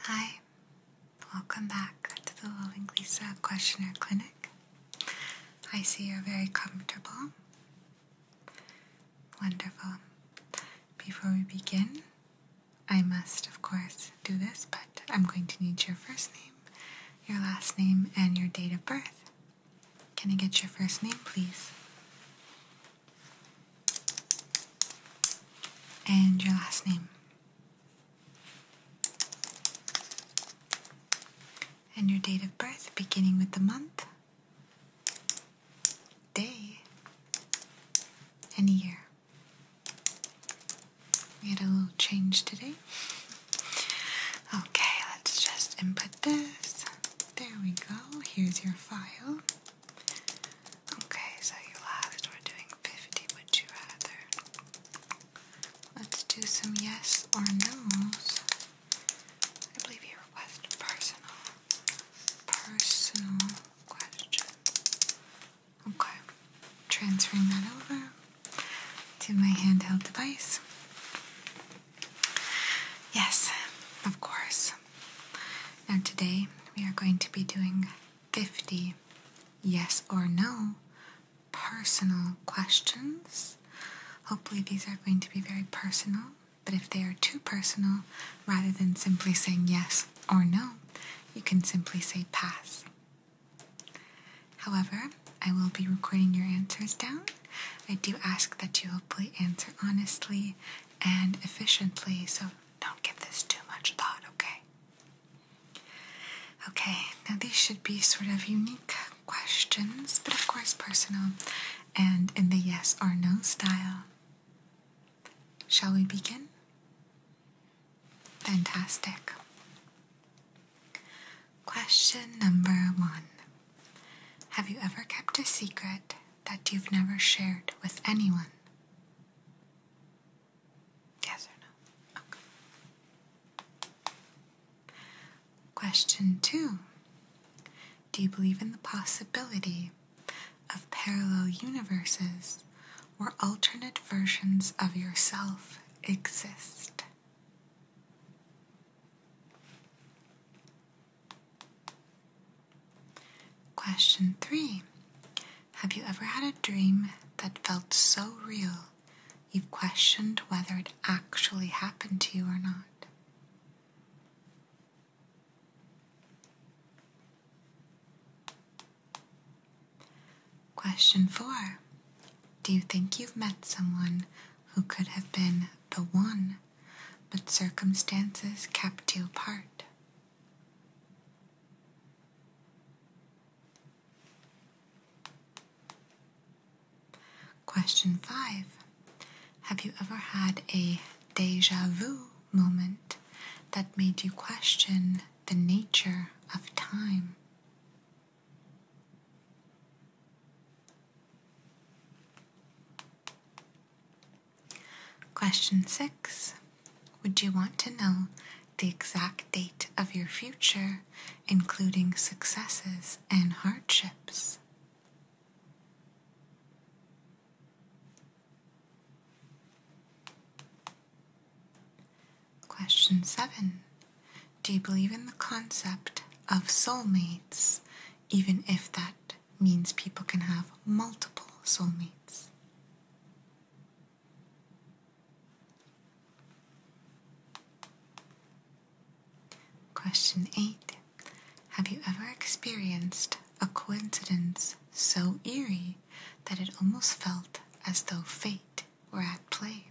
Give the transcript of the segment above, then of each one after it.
Hi, welcome back to the Lowing Lisa Questionnaire Clinic. I see you're very comfortable. Wonderful. Before we begin, I must, of course, do this, but I'm going to need your first name, your last name, and your date of birth. Can I get your first name, please? and your last name and your date of birth beginning with the month, day, and year. We had a little change today. Okay, let's just input this. There we go. Here's your file. Okay, so you last we doing 50, would you rather? Let's do some yes or no's. I believe you requested personal, personal question. Okay, transferring that over to my handheld device. Yes, of course. And today we are going to be doing 50 yes or no personal questions. Hopefully, these are going to be very personal, but if they are too personal, rather than simply saying yes or no, you can simply say pass. However, I will be recording your answers down. I do ask that you hopefully answer honestly and efficiently, so don't give this too much thought, okay? Okay, now these should be sort of unique questions, but of course personal and in the yes or no style. Shall we begin? Fantastic. Question number one Have you ever kept a secret that you've never shared with anyone? Yes or no? Okay. Question two Do you believe in the possibility of parallel universes where alternate versions of yourself exist? Question three Have you ever had a dream that felt so real you've questioned whether it actually happened to you or not? Question four Do you think you've met someone who could have been the one, but circumstances kept you apart? Question five Have you ever had a deja vu moment that made you question the nature of time? Question 6. Would you want to know the exact date of your future, including successes and hardships? Question 7. Do you believe in the concept of soulmates, even if that means people can have multiple soulmates? Question 8. Have you ever experienced a coincidence so eerie that it almost felt as though fate were at play?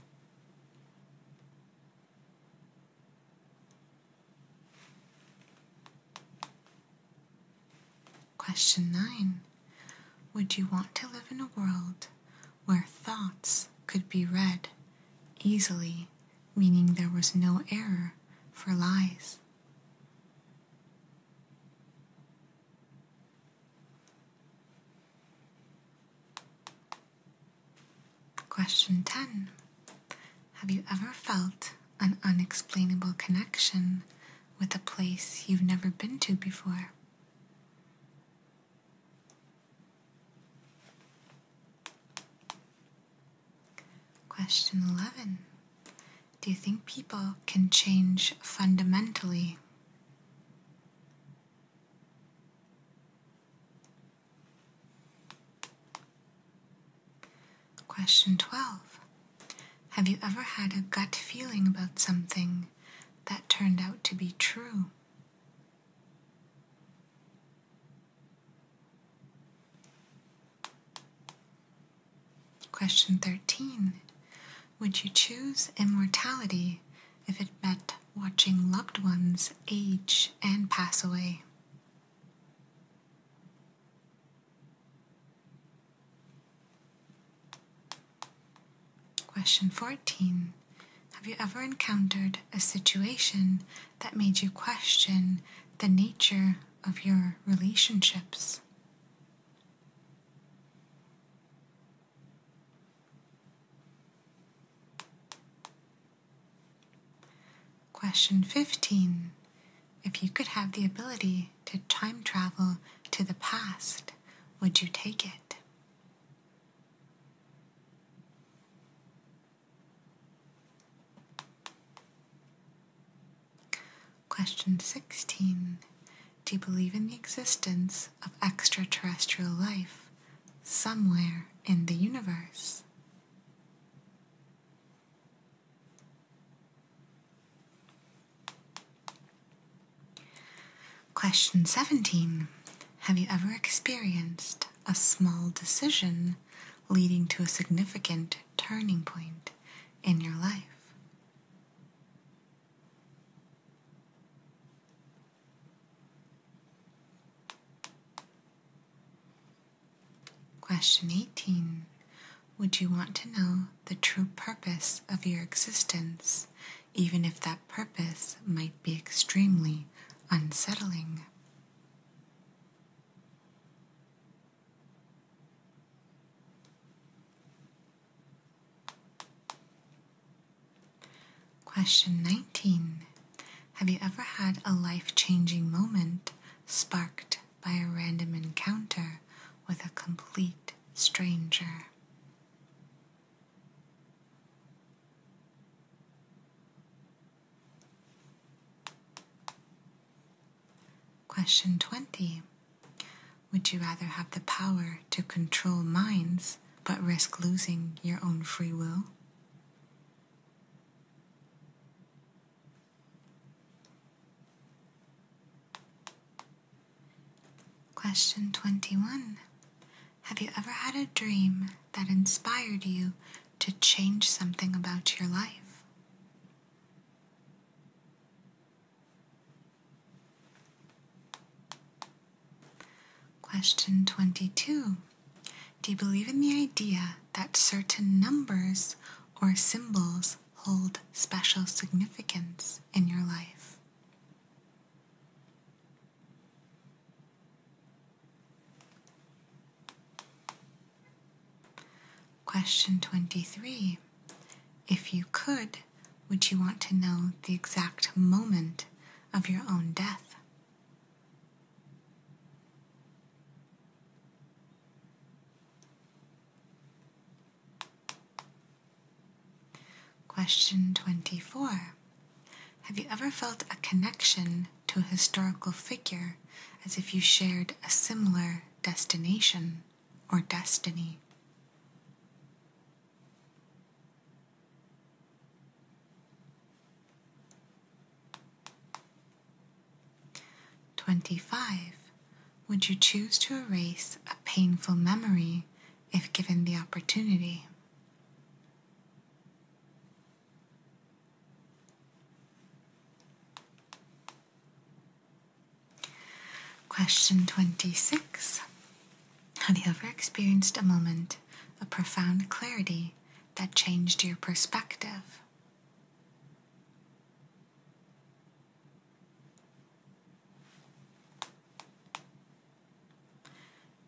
Question 9 Would you want to live in a world where thoughts could be read easily, meaning there was no error for lies? Question 10 Have you ever felt an unexplainable connection with a place you've never been to before. Question 11 Do you think people can change fundamentally? Question 12. Have you ever had a gut feeling about something that turned out to be true? Question 13. Would you choose immortality if it meant watching loved ones age and pass away? Question 14. Have you ever encountered a situation that made you question the nature of your relationships? Question 15. If you could have the ability to time travel to the past, would you take it? Question 16. Do you believe in the existence of extraterrestrial life somewhere in the universe? Question 17. Have you ever experienced a small decision leading to a significant turning point in your life? Question 18 would you want to know the true purpose of your existence, even if that purpose might be extremely unsettling? Question 19. Have you ever had a life changing moment sparked by a random encounter with a complete stranger. Question 20. Would you rather have the power to control minds but risk losing your own free will? Question 21. Have you ever had a dream that inspired you to change something about your life? Question 22. Do you believe in the idea that certain numbers or symbols hold special significance in your life. Question 23. If you could, would you want to know the exact moment of your own death? Question 24. Have you ever felt a connection to a historical figure as if you shared a similar destination or destiny? 25. Would you choose to erase a painful memory if given the opportunity? Question 26. Have you ever experienced a moment of profound clarity that changed your perspective?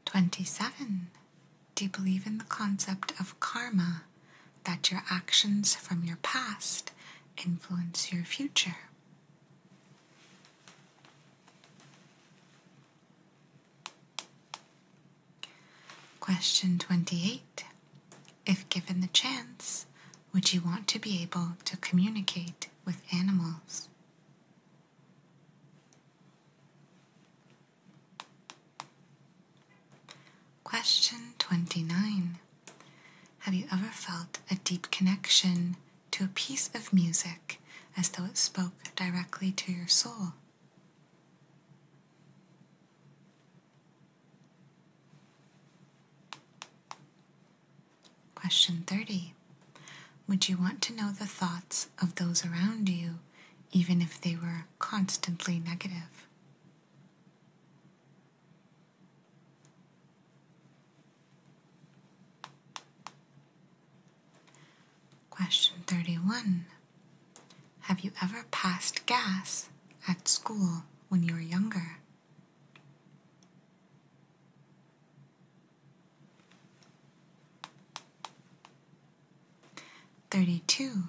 27. Do you believe in the concept of karma, that your actions from your past influence your future? Question 28. If given the chance, would you want to be able to communicate with animals? Question 29. Have you ever felt a deep connection to a piece of music as though it spoke directly to your soul? Question 30. Would you want to know the thoughts of those around you, even if they were constantly negative? Question 31. Have you ever passed gas at school when you were younger? 32.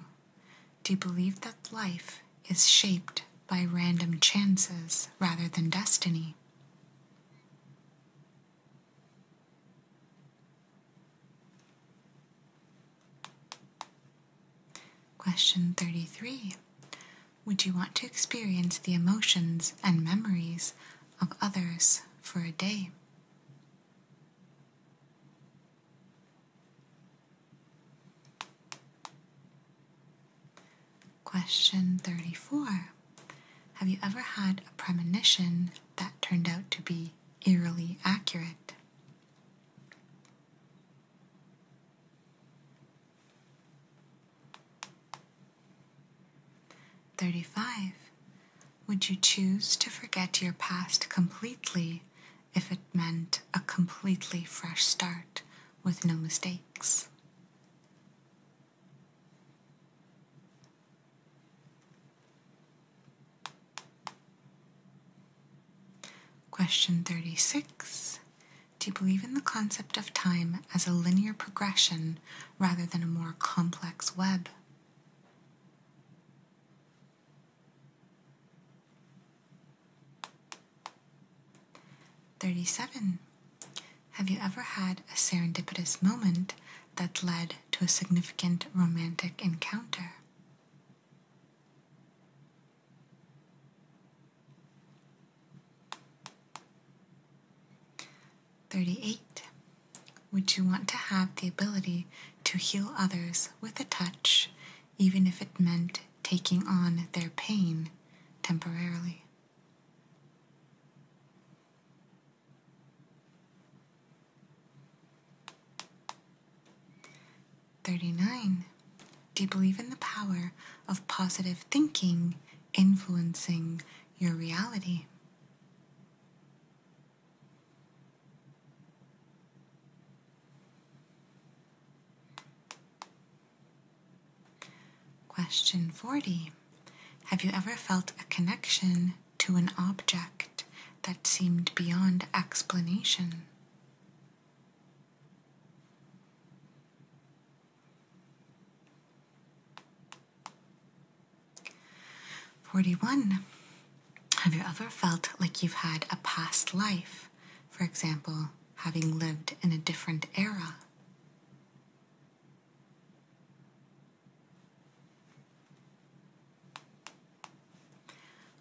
Do you believe that life is shaped by random chances rather than destiny? Question 33 Would you want to experience the emotions and memories of others for a day? Question 34 Have you ever had a premonition that turned out to be eerily accurate? 35. Would you choose to forget your past completely if it meant a completely fresh start with no mistakes? Question 36 do you believe in the concept of time as a linear progression rather than a more complex web? Thirty seven. Have you ever had a serendipitous moment that led to a significant romantic encounter? 38. Would you want to have the ability to heal others with a touch, even if it meant taking on their pain temporarily? 39. Do you believe in the power of positive thinking influencing your reality? Question 40. Have you ever felt a connection to an object that seemed beyond explanation? 41. Have you ever felt like you've had a past life? For example, having lived in a different era?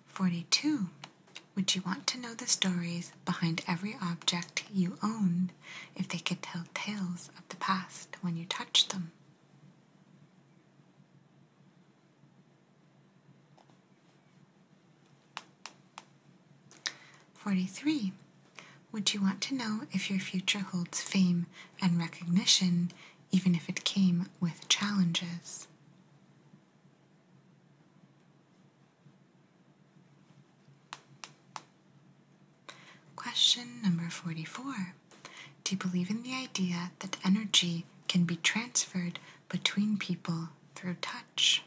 Forty two. Would you want to know the stories behind every object you owned if they could tell tales of the past when you touched them? Forty-three. Would you want to know if your future holds fame and recognition, even if it came with challenges? Question number 44. Do you believe in the idea that energy can be transferred between people through touch?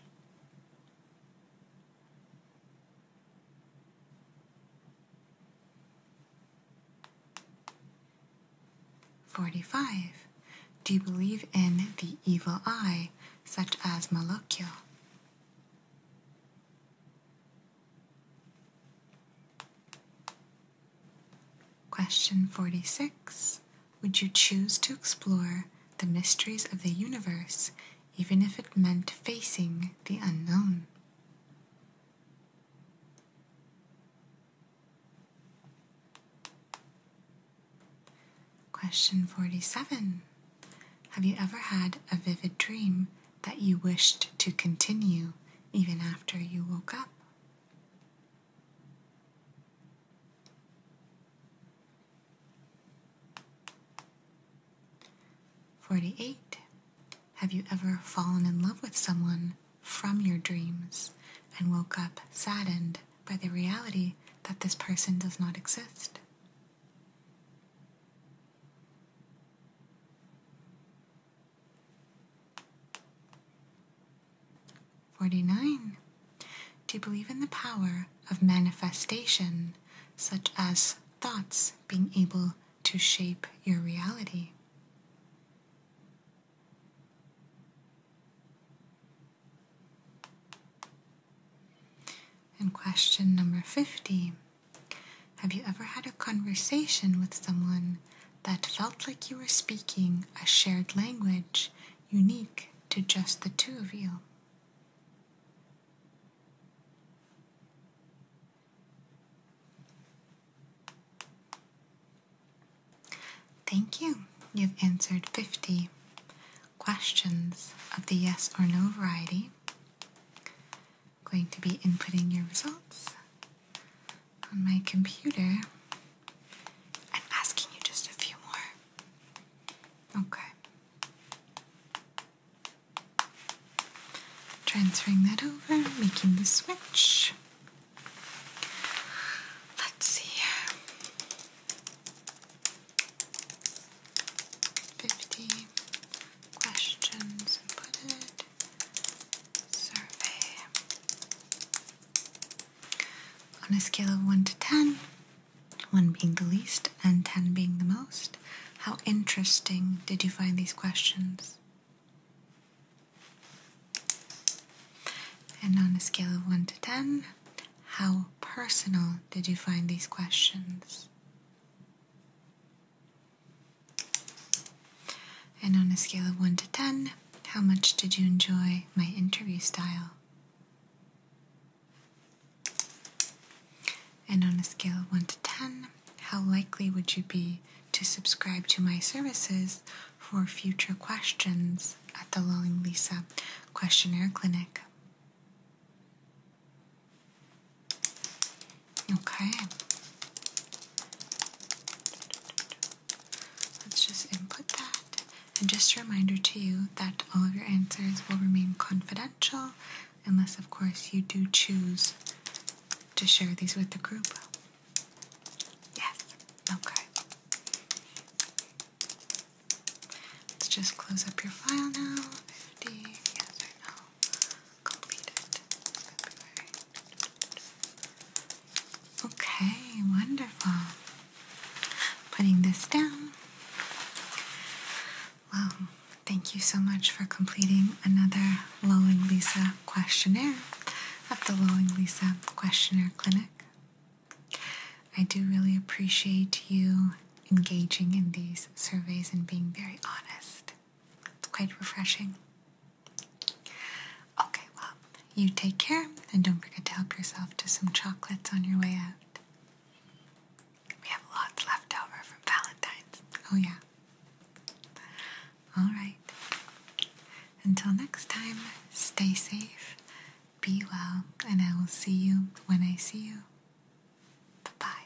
Forty five. Do you believe in the evil eye, such as Malocchio? Question 46 Would you choose to explore the mysteries of the universe even if it meant facing the unknown? Question 47 Have you ever had a vivid dream that you wished to continue even after you woke up? Forty-eight. Have you ever fallen in love with someone from your dreams and woke up saddened by the reality that this person does not exist. Forty nine. To believe in the power of manifestation, such as thoughts being able to shape your reality. In question number 50 Have you ever had a conversation with someone that felt like you were speaking a shared language unique to just the two of you? Thank you. You've answered 50 questions of the yes or no variety. I'm going to be inputting your results on my computer and asking you just a few more. Okay. Transferring that over, making the switch. Let's see. 50 questions survey. On a scale of 1 to 10, 1 being the least and 10 being the most, how interesting did you find these questions? And on a scale of 1 to 10, how personal did you find these questions? And on a scale of 1 to 10, how much did you enjoy my interview style? And on a scale of 1 to 10, how likely would you be to subscribe to my services for future questions at the Lulling Lisa Questionnaire Clinic. Okay. Let's just input that. And just a reminder to you that all of your answers will remain confidential unless, of course, you do choose to share these with the group. Yes, okay. Let's just close up your file now. 50, yes or no. Completed. Okay, wonderful. Putting this down. Well, thank you so much for completing another Lowing Lisa questionnaire at the Lowing Lisa Questionnaire Clinic. I do really appreciate you engaging in these surveys and being very honest. It's quite refreshing. Okay, well, you take care and don't forget to help yourself to some chocolates on your way out. We have lots left over from Valentine's. Oh, yeah. All right. Until next time, stay safe be well, and I will see you when I see you. Bye bye.